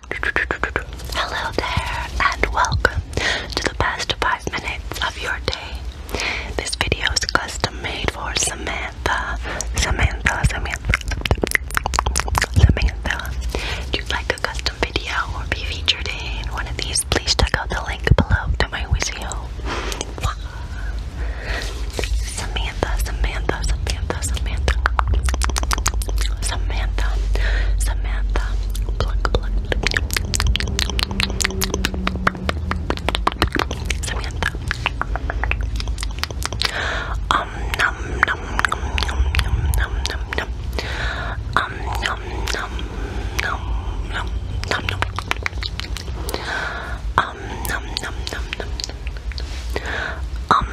Hello there, and welcome to the past 5 minutes of your day. This video is custom made for Samantha. Samantha, Samantha, Samantha. If you like a custom video or be featured in one of these, please check out the link below to my Wizio. Samantha, Samantha, Samantha. Samantha, Samantha, Samantha, Samantha, pluck, pluck, Samantha. Um, num, num, num, num, num, num, num, num. Um, num, num, num, num, num, num. Um, num, num, num, num, num. Um,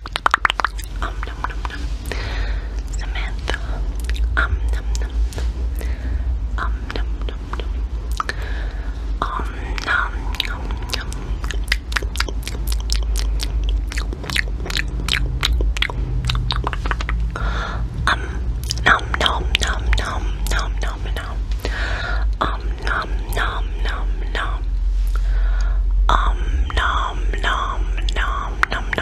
Um num num num. Samantha. Um num num num. Um num num num. Um num num num. Um num num num num num num num. Um num num num num. Um nom nom nom nom nom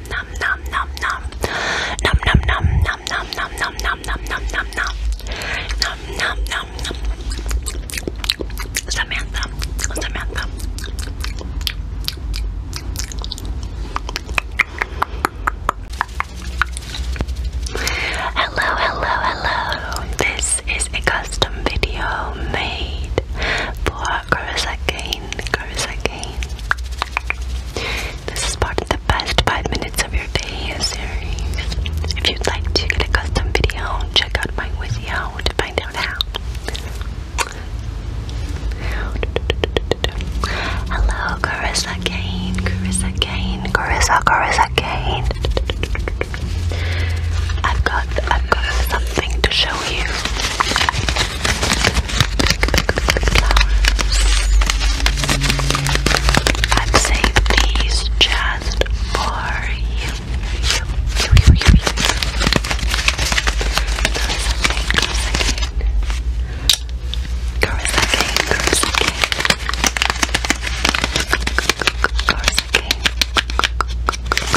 nom nom nom nom nom nom nom nom nom nom nom nom nom nom nom nom nom Samantha Samantha Hello hello hello This is a custom video made for about Kurosakane, Kurosakane. This is part of the best 5 minutes of your day series. If you'd like to get a custom video, check out my Wizio to find out how. Hello, Carissa Kane, Carissa Kane, Carissa, Carissa Kane. I've got, I've got something to show you flowers. I'm saving these just for you. You, you, you, you. Coruscant, Coruscant,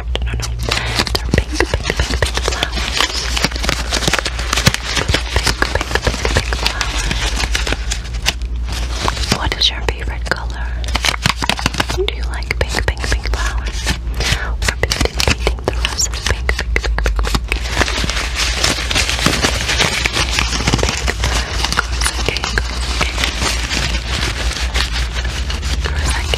What is your favorite color? Do you like pink, pink, pink flowers? Or painting, painting the roses pink, pink, pink, pink, pink? Pink. Girls,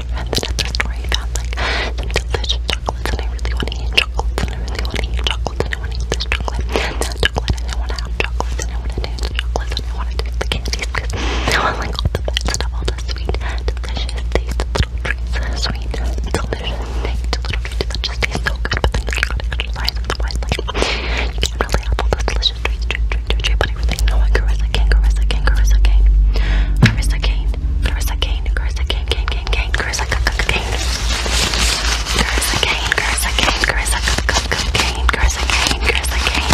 friends and at their store I found like some delicious chocolates and I really want to eat chocolates and I really want to eat chocolates and I want to eat this chocolate and that chocolate and I want to have chocolates and I want to taste the chocolates and I want to taste the candies because I want like all the bad stuff, all the sweet, delicious taste little treats, sweet, delicious taste little treats that just taste so good but then you gotta exercise otherwise like you can't really have all those delicious treats, treats, treats, treats, treats but everything. No, I Carissa Kane, Carissa Kane, Carissa Kane. Carissa Kane, Carissa Kane, Carissa Kane, Kane, Kane, Kane, Carissa Kane. Carissa Kane, Carissa Kane, Carissa Kane, Carissa Kane, Carissa Kane, Carissa Kane.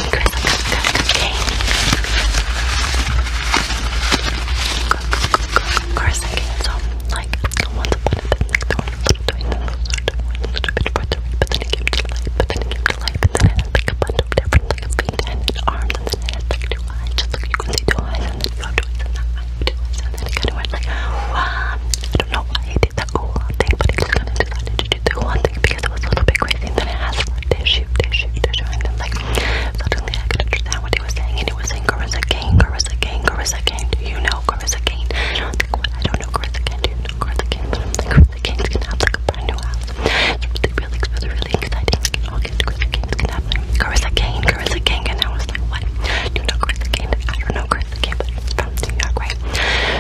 Carissa Kane, so like once upon a time, but then it came to life, but then it came to life, but then I had like a bunch of different like a feet and an arm and then I had like eyes, just like you can see two eyes and then you have two eyes two eyes and then it kind of went like I don't know why he did that cool thing, but he just kind of decided to do the one thing because it was a little bit crazy and then it has tissue, tissue, tissue and then like suddenly I could understand what he was saying and he was saying Carissa Kane, Carissa Kane, Carissa Kane, do you know Carissa Kane? I don't know Carissa Kane, do you know Carissa Kane? The Kings can have like a brand new house. It's really, really, really, really exciting. Like Kings can have like Carissa Kane, Carissa King, and I was like, what? Do you know I don't know Carissa Kane, but it's from New York, right?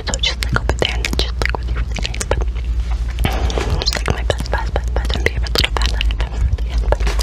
So just like over there, and just like really, really nice. But it's like my best, best, best, best, and favorite little band that I've ever really had. But a little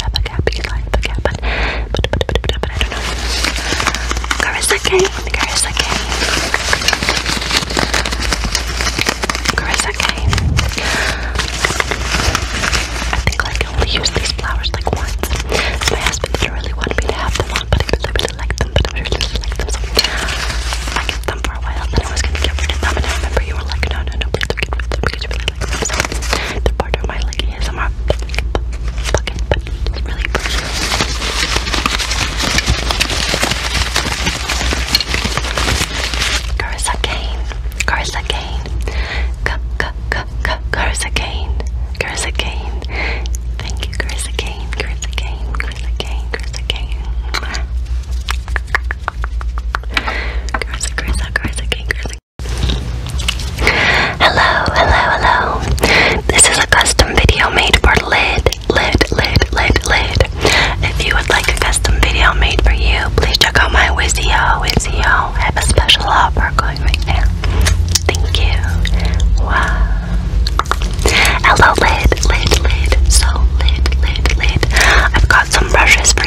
have a gap, you but, but, but, but, but, but I don't know. Carissa Kane, Carissa Kane. Carissa Kane. I think like, I only use these flowers like once. My husband didn't really want me to have them on, but I really, really like them, but I really, really like them, so I kept them for a while, then I was gonna get them, and I remember you were like, no, no, no, please don't get them, because you really like them, to part of my lady is I'm fucking really appreciate Carissa Kane, Carissa Kane, Carissa Kane, Carissa Kane, thank you Carissa Kane, Carissa Kane, Carissa Kane, Carissa Kane. Hello, hello, hello. This is a custom video made for Lid, Lid, Lid, Lid, Lid. If you would like a custom video made for you, please check out my Wizio, Wizio. I have a special offer going right now. Thank you. Wow. Hello, Lid, Lid, Lid. So, Lid, Lid, Lid. I've got some brushes for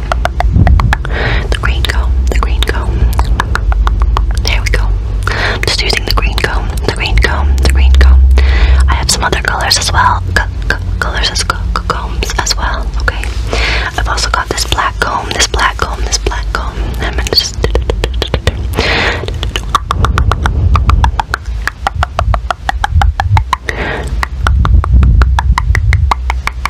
The green comb, the green comb. There we go. i just using the green comb, the green comb, the green comb. I have some other colors as well. colors as combs as well. Okay. I've also got this black comb, this black comb, this black comb.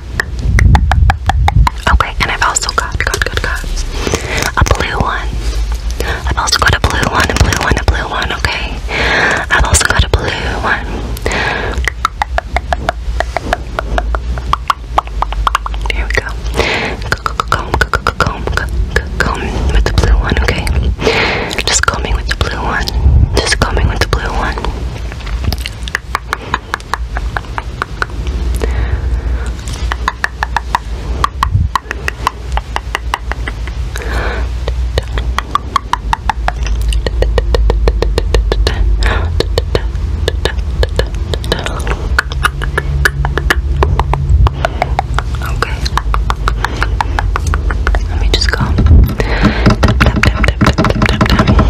Okay, and I've also got, got, got, got a blue one. I've also got a blue one, a blue one, a blue one, okay? I've also got a blue one. Here we go. Comb, comb, comb, comb with the blue one, okay? Just combing with the blue one. Just combing with the blue one. Okay. Let me just go. Tap tap tap tap tap tap tap.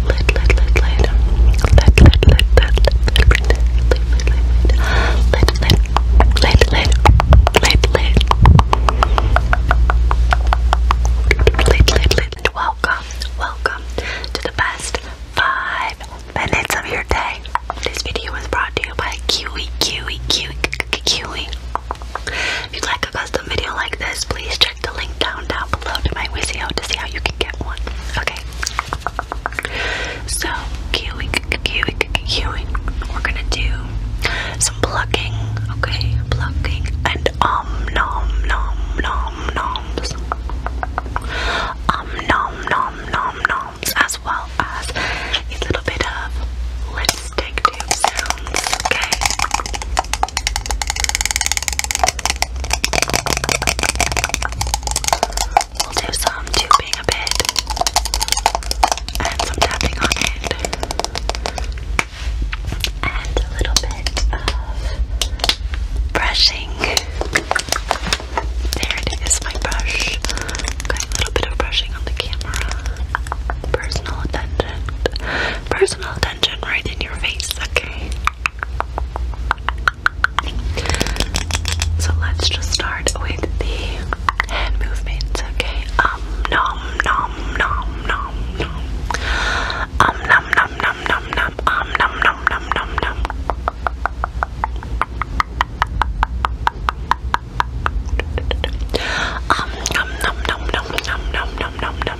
lit, lit, lit, lit, lit, lit, lit, lit, lit, lit, lit, lit, lit, lit, lit, lit, welcome, welcome to the best five minutes of your day. This video was brought to you by Kiwi, Kiwi, Kiwi, Kiwi. If you'd like a custom video like this, please check the link down down below to my Wizio to see how you can get one. Okay. So, queuing, queuing, queuing. We're gonna do some plucking, okay? Plucking and um nom nom nom noms. Um nom nom nom noms, as well as a little bit of lipstick tube sounds, okay? We'll do some tubing a bit and some tapping on it and a little bit of brushing. There it is, my brush. Got a little bit of brushing on the camera. Personal attention. Personal attention right in your face, okay? So let's just start with the hand movements, okay? Um nom nom nom nom nom Um nom nom nom nom nom um nom nom nom nom nom Um nom nom nom nom nom nom nom nom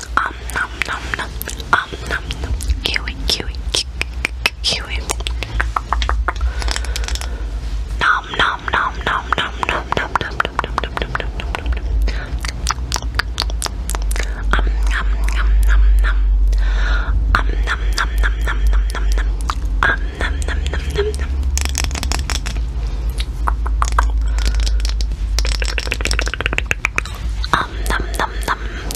um nom nom nom um nom nom kiwi kiwi kiwi nom nom nom nom nom nom nom nom nom nom nom nom nom nom um nom nom nom nom um nom nom nom nom nom nom nom um nom nom nom nom nom um nom nom nom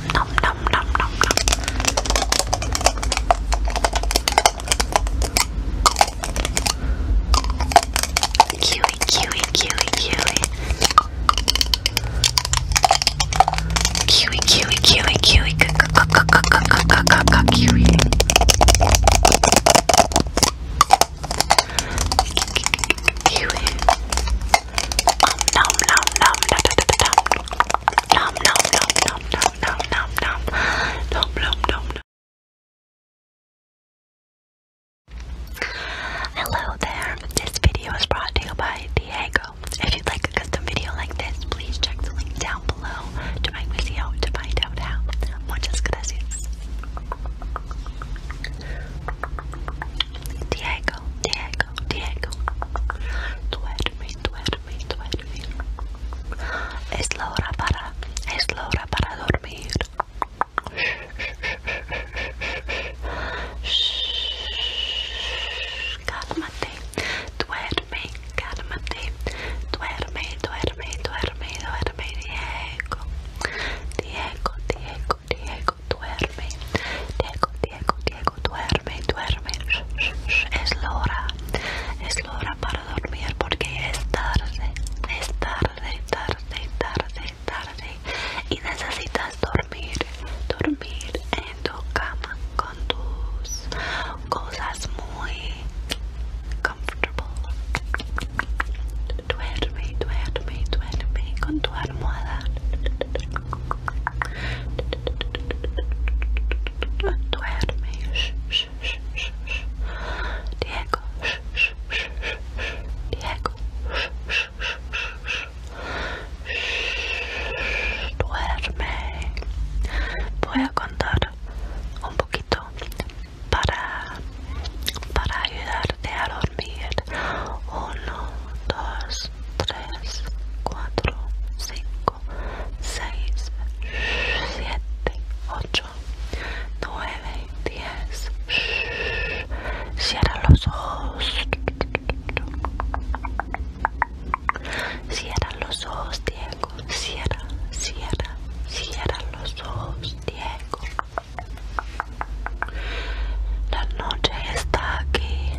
nom nom nom nom nom. Kiwi, kiwi, kiwi, kiwi. Kiwi, kiwi, kiwi, kiwi, kiwi. Kiwi nom nom nom nom nom nom nom nom nom nom nom nom nom nom Hello there, this video is brought to you by Diego. If you'd like a video like this, please check the link down below to my video to find out how. Muchas gracias. Diego, Diego, Diego, duerme, duerme, duerme. Es la hora para, es la hora para dormir. cálmate, duerme, cálmate, duerme, duerme, duerme, duerme, Diego, Diego, Diego, Diego duerme. Diego, Diego, Diego, duerme, duerme. Es la hora, es la hora para dormir porque es tarde, es tarde, tarde, tarde, tarde. Y necesitas dormir, dormir en tu cama con tus cosas muy comfortable. Duerme, duerme, duerme con tu almohada. Duerme. Diego. Diego. Duerme. Voy a contar un poquito para, para ayudarte a dormir. Uno, dos, 3, 4, 5, 6, 7, 8, 9, 10. Cierra los ojos. Cierra los ojos, Diego. Cierra, cierra, cierra los ojos, Diego. La noche está aquí.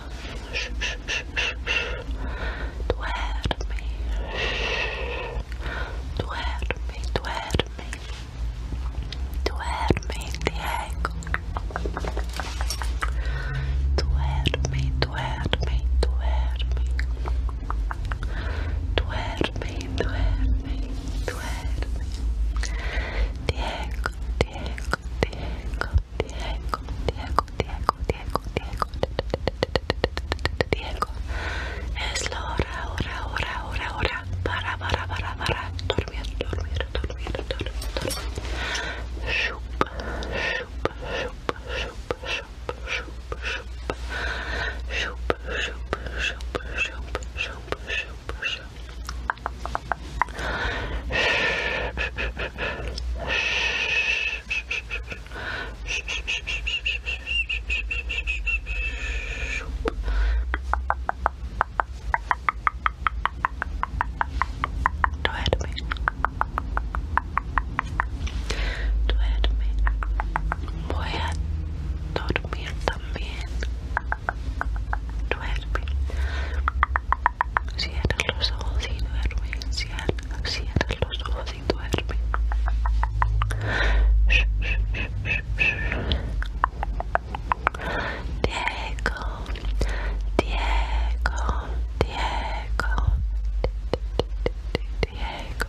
Duerme. Duerme, duerme. Duerme, Diego. Duerme, duerme, duerme. Duerme, duerme, duerme. Diego, Diego, Diego. Diego, Diego, Diego, Diego, Diego, Diego. Es la hora, ora Para, para, para, para. Dormir, dormir, dormir, Do it Voy a dormir también. Duerme. Cierra los ojos duermes. cierra, los ojos y duerme. Diego, Diego, Diego, Diego. Diego,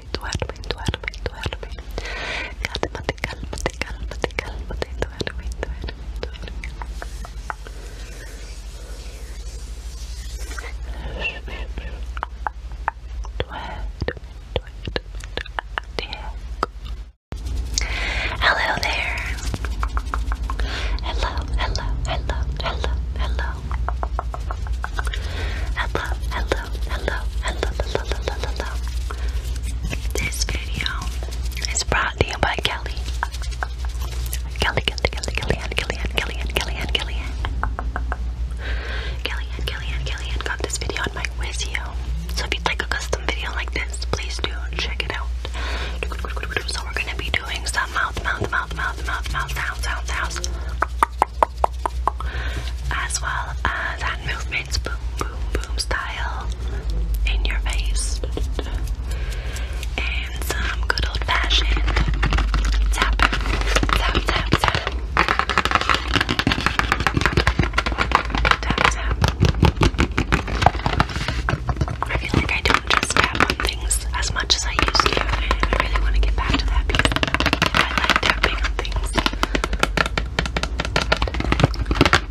duerme, duerme, duerme, duerme. Cálmate, cálmate, cálmate, cálmate, duerme, duerme, duerme. Hello there. Hello, hello, hello, hello, hello. Hello, hello, hello, hello, hello, hello, hello, hello. This video is brought to you by Kelly. Kelly, Kelly, Kelly, Kelly, and Kelly, and Kelly, and got this video on my Wizio. So if you'd like a custom video like this, please do check it out. So we're gonna be doing some mouth, mouth, mouth, mouth, mouth, mouth sounds, sounds, sounds as well as that movements, boom, boom, boom style in your face, and some good old fashioned tap, tap, tap, tap, tap, I feel like I don't just tap on things as much as I used to, I really want to get back to that because I like tapping things.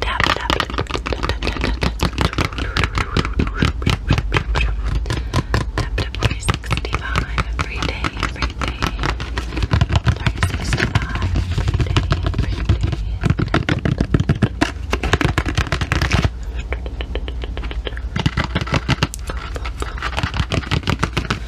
Tap, tap, tap, tap 365 every day, every day. 365 every day, every day. Tap, tap, tap.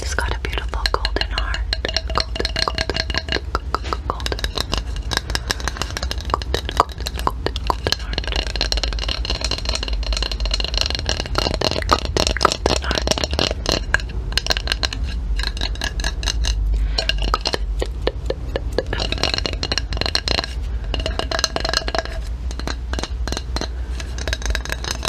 It's got a beautiful golden heart.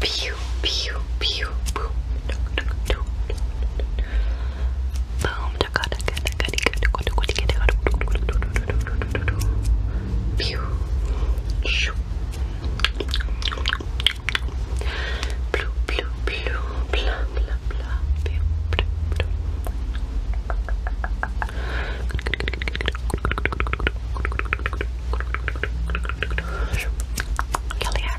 Pew, pew, pew, boom. Boom. Pew. Shoo. Blue, blue, blue, blah, blah, blah. Pew, blue, blue. Kelly hair.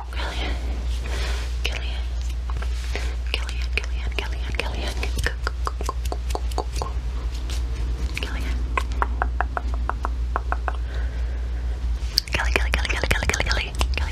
Killian, Killian, Killian, Killian, Killian, Killian, Killian. Kelly, Kelly, Kelly, Kelly, Kelly, Kelly, Kelly, Killian.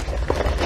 Killian, Killian, Killian,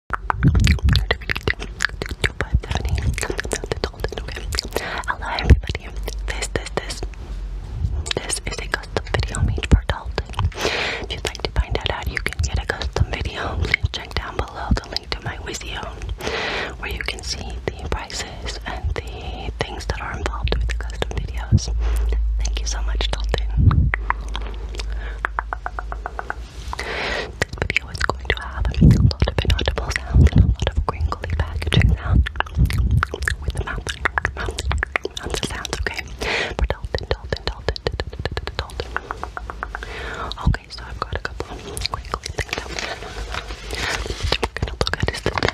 Hello everybody. This, this, this. This is a custom video made for Dalton. If you'd like to find out how you can get a custom video, please check down below the link to my Wizio where you can see the prices and the things that are involved with custom videos. Thank you so much, Dalton. This video is going to have a lot of inaudible sounds and a lot of crinkly packaging sounds with the mouth, mouth, mouth sounds, okay? For Dalton, Dalton, Dalton, Dalton. Okay, so I've got a couple of crinkly things that we're gonna look at is the $10 bill.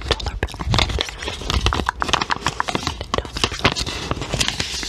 This is $10 bill.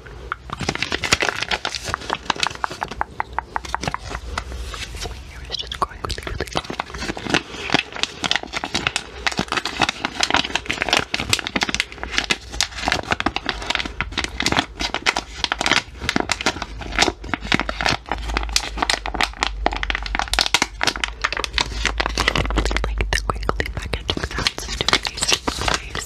Your is just growing really, really Like the crinkly packaging sounds do amazing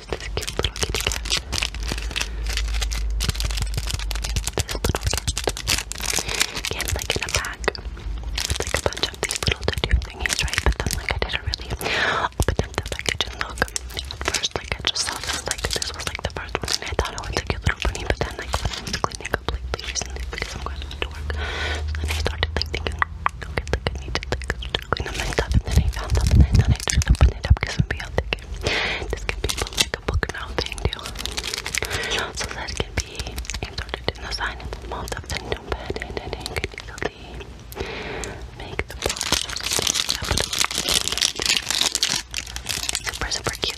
There's this cute little kitty cat. This little cat. Can't like in a pack. It's like a bunch of these little tattoo thingies, right? But then like I didn't really open up the package and look. At first like I just saw this like this was like the first one I thought oh, it was a little bunny but then like I was cleaning up like recently because I'm going to work. then I started like thinking Okay, like I need to like up and then I found something and then I just opened it up because it would be all thick this can be like a book now thing So that can be inserted in the sign in the mouth of and you can easily make the brush Super, super cute.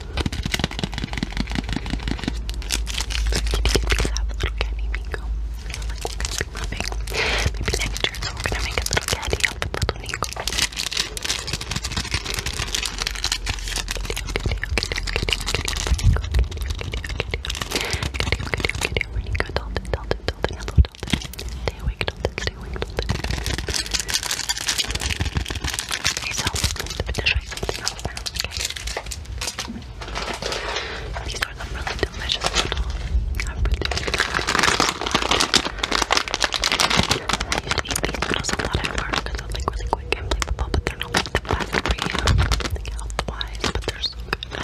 have a little candy Nico. I feel like we're gonna be loving. so we're gonna make a little candy out of little Nico. Stay awake, Dalton. Stay awake, Dalton. Okay, so the Okay. These are some really delicious little I used to eat these noodles a lot because they're like really quick and flavorful, but they're not like the best for you, like health but they're so good.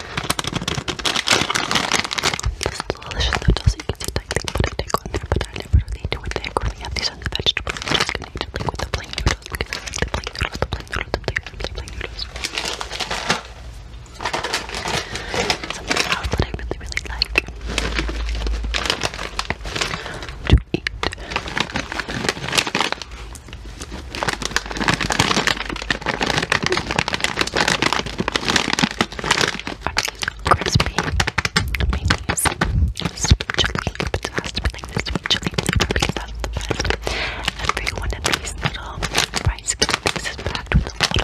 This delicious the you can see tightly put a tick on but I never really do a tick when we have these other vegetables. I'm eat it with the plain noodles the plain noodles, the plain noodles, the plain noodles, the plain noodles. Something that I really, really like to eat Crispy minis. Sweet chili, but it chili because that's the Every one of these little rice cakes is packed with a lot of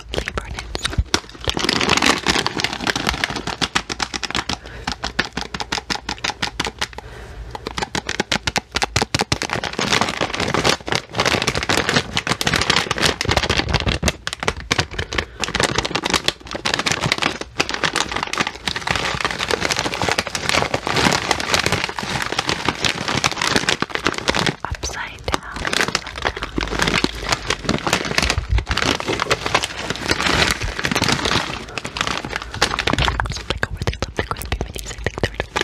Upside down. Upside down. So like over there, something crispy minis. I think they're delicious.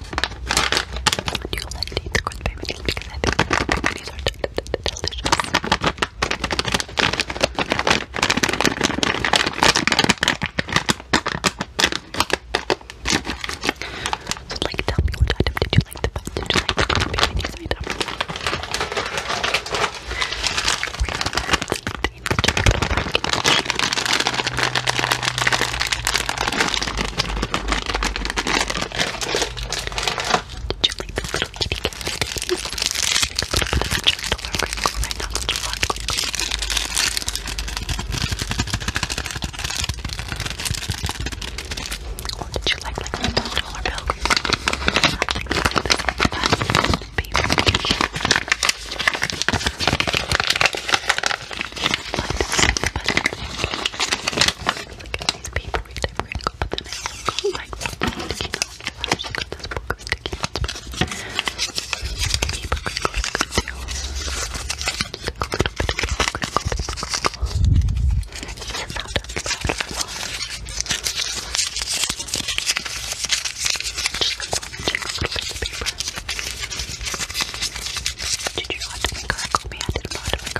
do you like to eat the Because I think crispy minis are delicious. So like tell me which item did you like the best? Did you like the crispy minis did you like the little kitty cat? A little bit of a gentle crinkle right now. Such a lot of crinkles. Or did you like like the dollar bill? I think I like this one the best. Baby I like this one the best like, look at these paper read I'm gonna go, but then I go like this sticky notes. I actually got this book of sticky notes. Paper crinkles good too. Crinkle, crinkle, crinkle, crinkle. Yes, that does Just like, Paper. Did you want to make her call me? I did not want to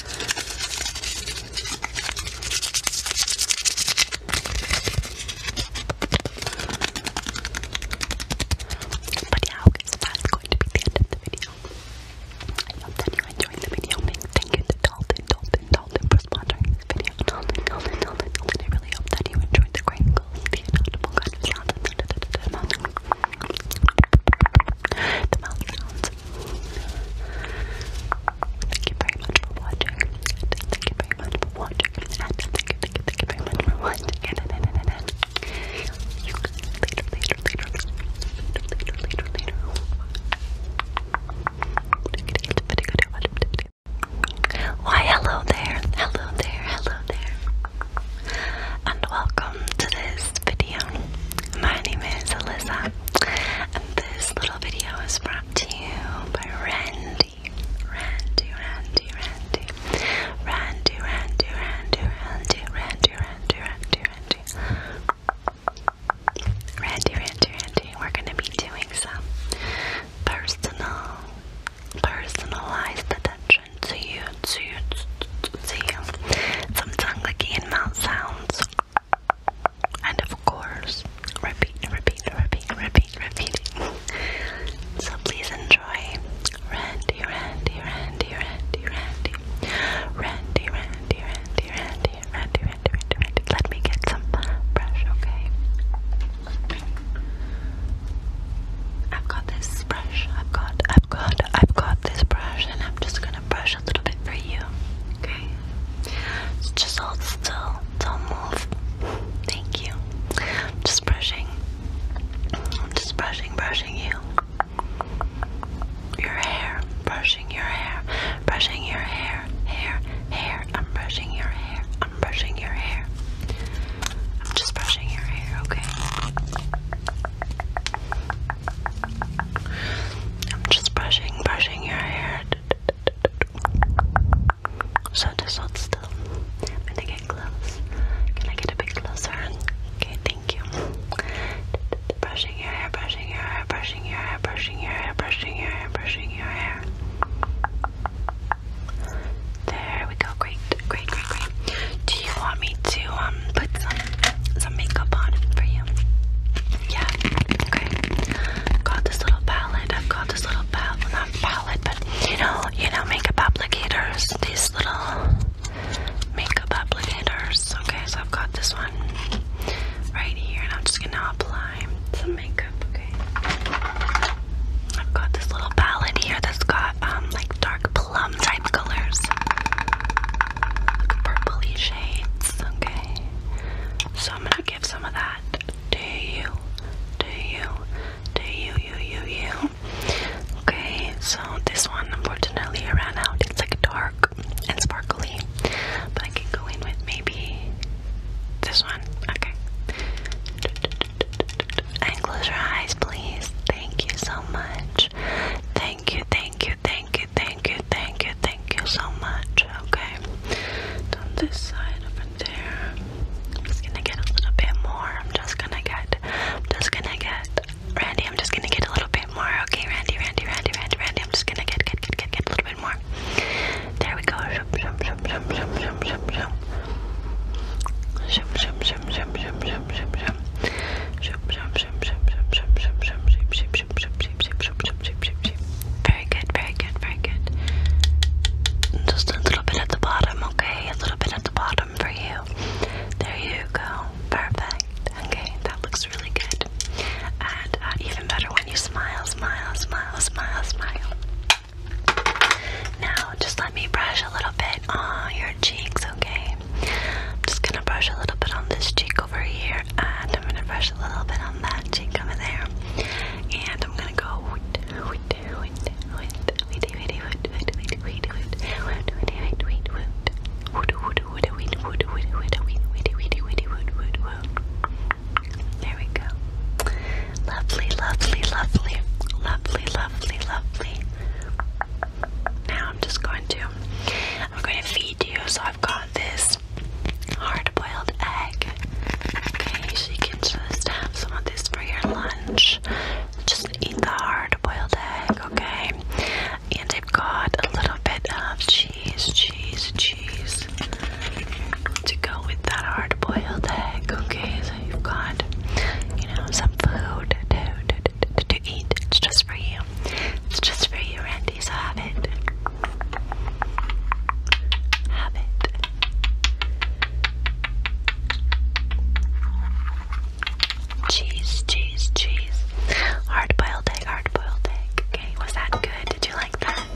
But yeah, that's going to be the end of the video. I hope that you enjoyed the video. Thank you to Dalton, Dalton, Dalton for sponsoring this video. Dalton, Dalton, Dalton, I really hope that you enjoyed the crinkles, The mouth sounds Thank you very much for watching. thank you very much for watching. And thank you, thank you, thank you very much for watching. And, and, and, and, and. later, later, later, later, later, later, later. Why, hello there, hello there, hello there, and welcome to this video. My name is Alyssa, and this little video is brought to you by Randy. Randy, Randy, Randy. Randy, Randy, Randy, Randy, Randy, Randy, Randy, Randy. Randy, Randy, Randy. We're going to be doing some personal, personalized attention to you, to you, see some tongue licking and mouth sounds. And of course, repeat, repeat, repeat, repeat, repeat. so please enjoy Randy, Randy, Randy, Randy. Randy, Randy, Randy, Randy, Randy, Randy, Randy, Randy. Let me get some brush, okay? I've got this brush. I've got, I've got, I've got this brush, and I'm just gonna brush massage a little bit for you. Okay? So just hold still. Don't move. Thank you. I'm just brushing. I'm just brushing, brushing you. Your hair. Brushing your hair. Brushing your hair. Hair. Hair. I'm brushing your hair. I'm brushing your hair. I'm just brushing your hair, okay? I'm just brushing, brushing your hair. So just hold still. I'm gonna get close. Can I get a bit closer? Okay, thank you. Brushing your hair, brushing your hair, brushing your hair, brushing your hair, brushing your hair, brushing your hair. There we go. Great, great, great, great do you want me to um put some some makeup on for you? Yeah. Okay. Got this little palette. I've got this little palette, not palette, but you know, you know, makeup applicators. These little makeup applicators. Okay, so I've got this one right here, and I'm just gonna apply some makeup. Okay. I've got this little palette here that's got um like dark plum um, type colors, purpley shades. Okay, so I'm gonna give some of that to you, to you, to you, you, you, you. Okay, so this one unfortunately I ran out. It's like dark and sparkly, but I can go in with maybe this one. Okay. And close your eyes, please. Thank you so much. Thank you, thank you, thank you thank you, thank you, thank you, thank you so much. Okay, it's this side over there. I'm just gonna get a little bit more. I'm just gonna get, I'm just gonna get, Randy. I'm just gonna get a little bit more. Okay, Randy, Randy, Randy, Randy, Randy. I'm just gonna get, get, get, get, get a little bit more. There we go. Shum, shum, shum, shum, shum, shum, shum, shum. Shum, shum, shum, shum, shum, shum, shum, shum. Shum, shum, very good, very good, very good. Just a little bit at the bottom, okay? A little bit at the bottom for you. There you go. Perfect. Okay, that looks really good. And uh, even better when you smile, smile, smile, smile, smile. Now, just let me brush a little bit on your your cheeks, okay? I'm just gonna brush a little bit on this cheek over here, and I'm gonna brush a little bit on that cheek over there. And I'm gonna go wait, wait, wait, wait, wait, wait, wait, wait, wait, wait, wait, wait, wait, there we go. Lovely, lovely, lovely, lovely, lovely, lovely. Now I'm just going to I'm going to feed you. So I've got this hard boiled egg. Okay, you can just have some of this for your lunch. Just eat the hard boiled egg, okay? And I've got a little bit of cheese, cheese, cheese to go with that hard boiled egg, okay? So you've got, you know, some food to, to, to, to eat. It's just for you. It's just for you, Randy, so have it. Have it. Cheese, cheese, cheese. Hard boiled egg, hard boiled egg. Okay, was that good? Did you like that?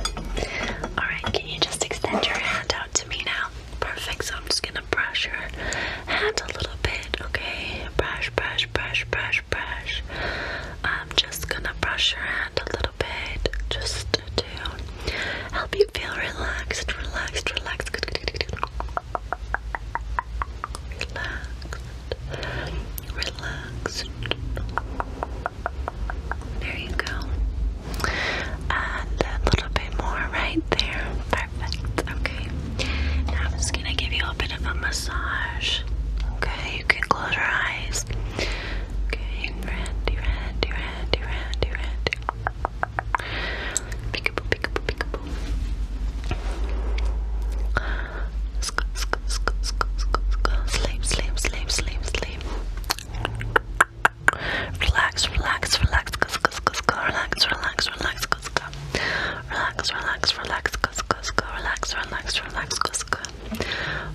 Alright, can you just extend your hand out to me now? Perfect, so I'm just gonna brush your hand a little bit, okay? Brush, brush, brush, brush brush, I'm just gonna brush your hand a little bit just to help you feel relaxed, relaxed, relaxed. Good, good, Relaxed, relaxed. There you go. And a little bit more right there. Perfect. Okay. I'm just gonna give you a bit of a massage. Okay, you can close your eyes. Okay, Randy, Randy, Randy, Randy, Randy. Peekaboo, peekaboo, peekaboo. Sleep, sleep, sleep, sleep, sleep. Relax, relax, relax, relax, relax, relax, kuska. Relax, relax, relax, kuska, kuska. Relax, relax, relax, kuska.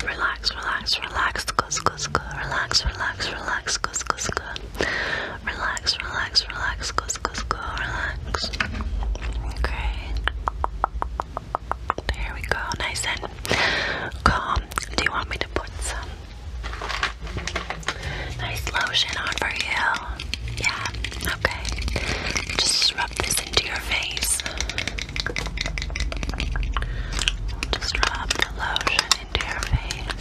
Relax, relax, relax, kuska, kuska. Relax, relax, relax, kuska, kuska. Relax, relax, relax, kuska, kuska. Relax. Okay. There we go. Nice and calm. Do you want me to put some nice lotion on for you? Yeah, okay. Just rub this into your face. Just rub the lotion into your face.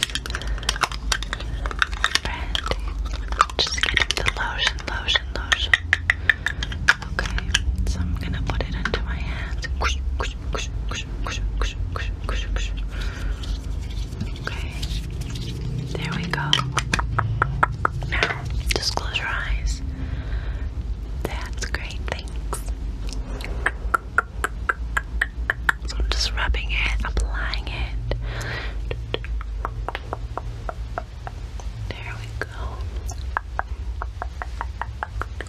Right. Just get the lotion, lotion, lotion. Okay, so I'm gonna put it into my hands. Okay. There we go. Now, just close your eyes. That's great, thanks. So I'm just rubbing it, applying it. There we go.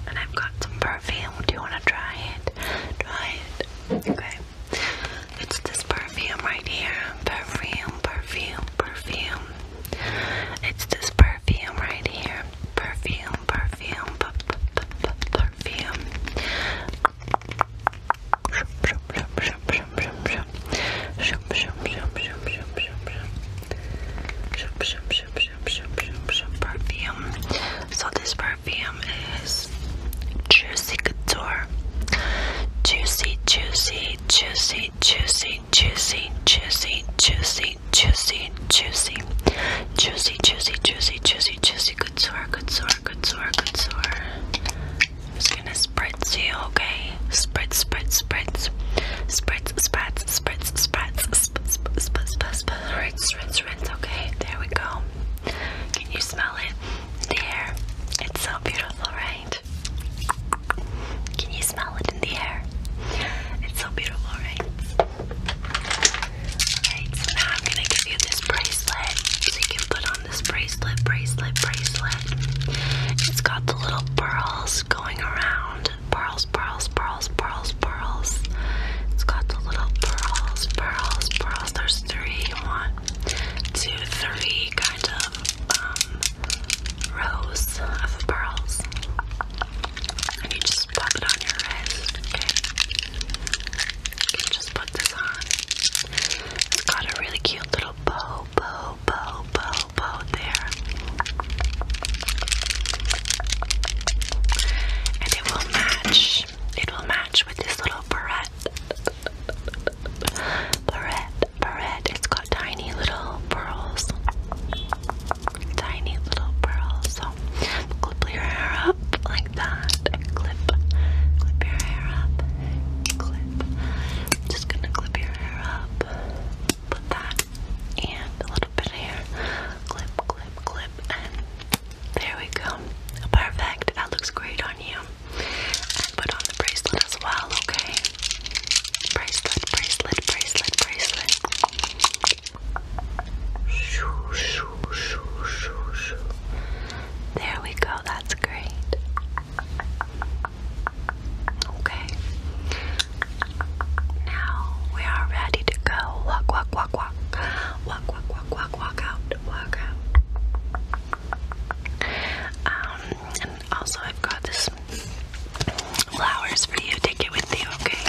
And I've got some perfume. Do you want to try it? Try it. Okay. It's this perfume right here. Perfume, perfume, perfume. It's this perfume right here. Perfume, perfume, p -p -p -p perfume. Perfume. So this perfume is Juicy Couture. Juicy, juicy, juicy, juicy, juicy, juicy, juicy, juicy, juicy, juicy, juicy, juicy, juicy, juicy, good sore, good sore, good sore, good sore. I'm just gonna spritz you, okay? Spritz, spritz, spritz, spritz, spritz, spritz, spritz, spritz, spritz, spritz, rinse, rinse, rinse. Okay, there we go. Can you smell it? There, it's so beautiful, right? Can you smell it in the air? It's so beautiful, right? Alright, so now I'm gonna give you this bracelet. So you can put on this bracelet, bracelet, bracelet. It's got the little pearls going around. Pearls, pearls, pearls, pearls, pearls. It's got the little pearls, pearls, pearls. There's three. One, two, three kind of um, rows of pearls. And you just pop it on your wrist, okay? You can just put this on. It's got a really cute little bow, bow, bow, bow, bow there. And it will match. It will match with this little barrette. Barrette, red. It's got tiny little pearls. Tiny little pearls. So clip your hair up like that. Clip. Clip your hair up. Clip. I'm just gonna clip your hair up. Put that and a little bit here. Clip, clip, clip, and there we go. Perfect. That looks great on you. And put on the bracelet as well, okay? Bracelet, bracelet, bracelet, bracelet. Shoo, shoo, shoo, shoo, shoo. There we go, that's great. Okay. Now we are ready to go. Walk, walk, walk, walk. Walk, walk, walk, walk, walk out, walk out. Um, also, I've got this flowers for you. Take it with you, okay?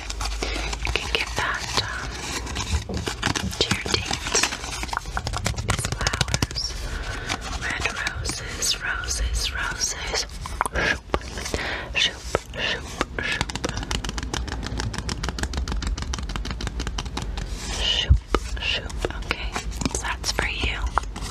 You can give that um, date. These flowers, red roses, roses, roses. Shoop, shoop, shoop, shoop. Shoop, shoop. Okay, that's for you.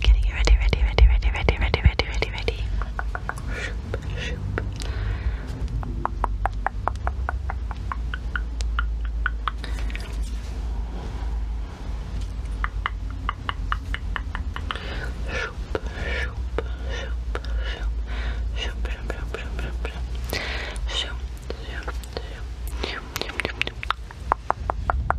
Getting you ready, ready, ready, ready, ready, ready, ready, ready, ready. Shoop, shoop. Shoop, shoop, shoop, shoop, shoop, shoop, shoop, shoop. Shoop, shoop, shoop, shoop, shoop, shoop.